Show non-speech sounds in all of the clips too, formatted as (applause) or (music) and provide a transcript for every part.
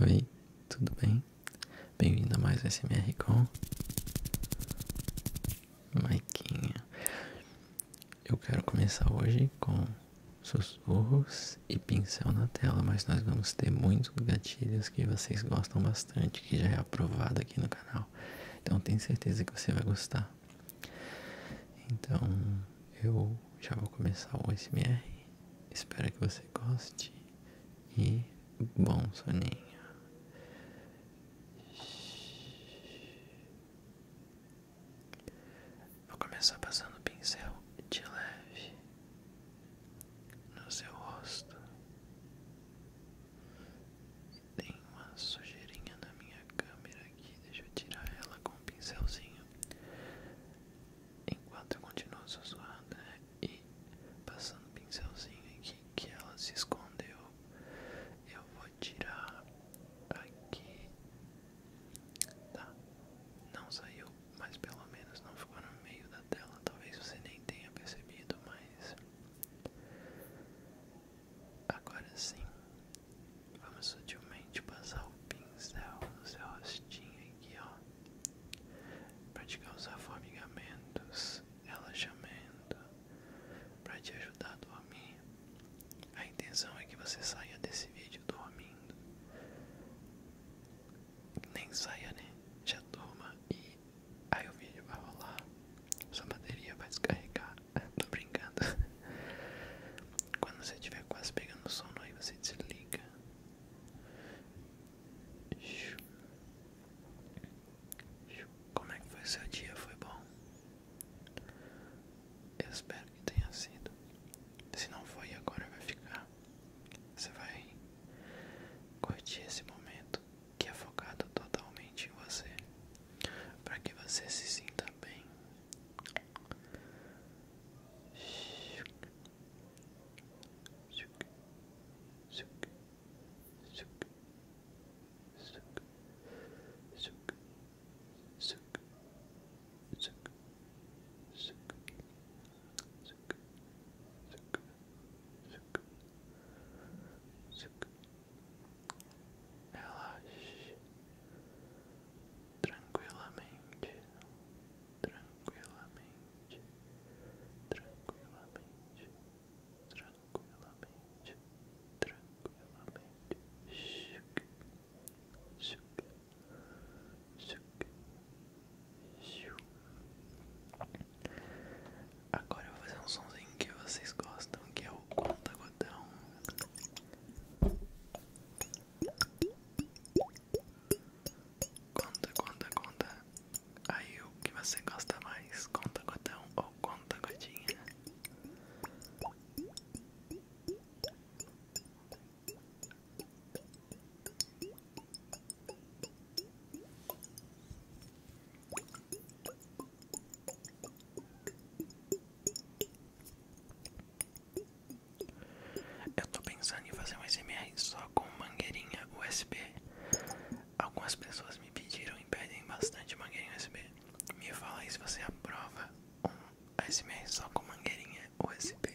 Oi, tudo bem? Bem-vindo a mais SMR com Maiquinha. Eu quero começar hoje com sussurros e pincel na tela, mas nós vamos ter muitos gatilhos que vocês gostam bastante, que já é aprovado aqui no canal. Então tenho certeza que você vai gostar. Então eu já vou começar o SMR. Espero que você goste e bom soninho. Vou começar passando o pincel de leve no seu rosto. Tem uma sujeirinha na minha câmera aqui, deixa eu tirar ela com o pincelzinho Enquanto eu continuo sussurrando né? e passando o pincelzinho aqui que ela se escondeu Eu vou tirar aqui tá. não saiu, mas pelo menos não ficou no meio da tela, talvez você nem tenha percebido, mas agora sim vamos sutilmente passar o pincel no seu rostinho aqui, ó, praticar os formigamentos, relaxamento, para te ajudar a dormir. A intenção é que você saia desse vídeo dormindo. Nem saia, né? Já toma e aí o vídeo vai rolar, sua bateria vai descarregar. (laughs) Tô brincando. Quando você tiver quase pegando sono, aí você desliga. Como é que foi seu dia? Foi bom? Eu espero que tenha sido. Se não foi, agora vai ficar. Você vai curtir esse momento que é focado totalmente em você, para que você se sinta bem. Zuc, zuc, Relaxe tranquilamente, tranquilamente, tranquilamente, tranquilamente, tranquilamente. Shuk, shuk, shuk, shuk, Agora eu vou fazer um somzinho que vocês gostam, que é o conta gotão. Conta, conta, conta. Aí o que você gosta mais, conta gotão ou conta gotinha? Eu estou pensando em fazer um SMR só com mangueirinha USB. Algumas pessoas me pediram e pedem bastante mangueirinha USB. Me fala aí se você aprova um SMR só com mangueirinha USB.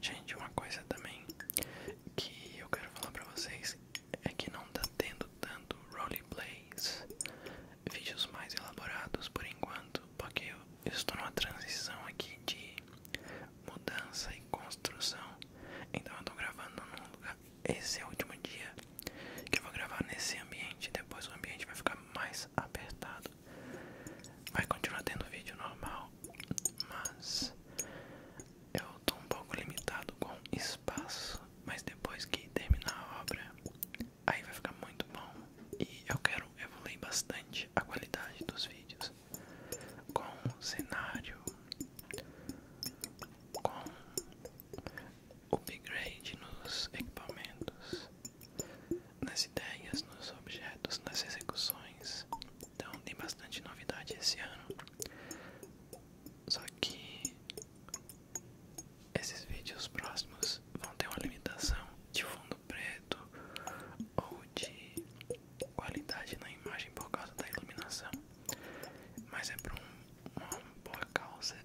Gente, uma coisa também que eu quero falar pra vocês é que não tá tendo tanto roleplays, vídeos mais elaborados por enquanto, porque eu estou numa transição aqui de mudança e construção, então eu tô gravando nesse é último dia que eu vou gravar nesse ambiente, depois o ambiente vai ficar mais mais apertado. Vai continuar tendo vídeo normal, mas eu tô um pouco limitado com espaço. Mas depois que terminar a obra, aí vai ficar muito bom. E eu quero evoluir bastante a qualidade dos vídeos com cenário, com upgrade nos equipamentos, nas ideias, nos objetos, nas execuções. Então tem bastante novidade esse ano. Só que esses vídeos próximos vão ter uma limitação de fundo preto ou de qualidade na imagem por causa da iluminação. Mas é por uma boa causa. (laughs)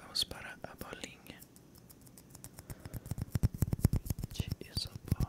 Vamos para a bolinha de isopor.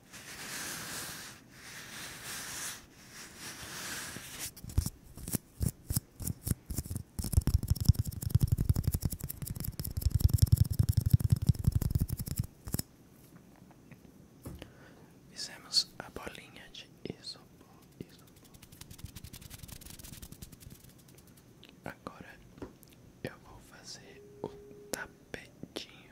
Fizemos a bolinha de isopor, isopor. Agora eu vou fazer o da rapidinho.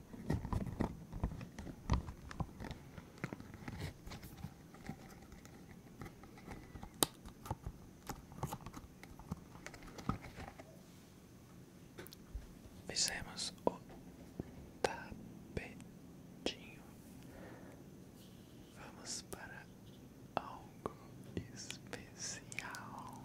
Fizemos o tapetinho. Vamos para algo especial.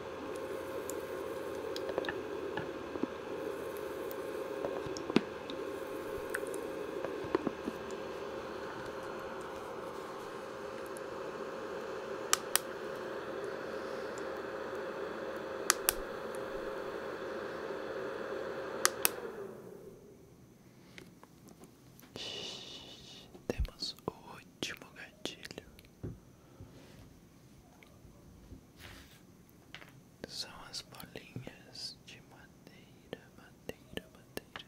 Temos o último gatilho são as bolinhas de madeira, madeira, madeira.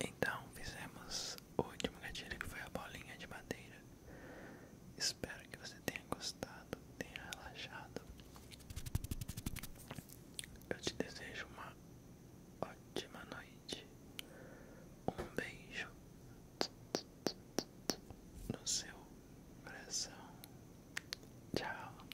Então fizemos o último gatilho que foi a bolinha de madeira. Espero que você tenha gostado, tenha relaxado eu te desejo uma ótima noite. Um beijo no seu coração. Tchau.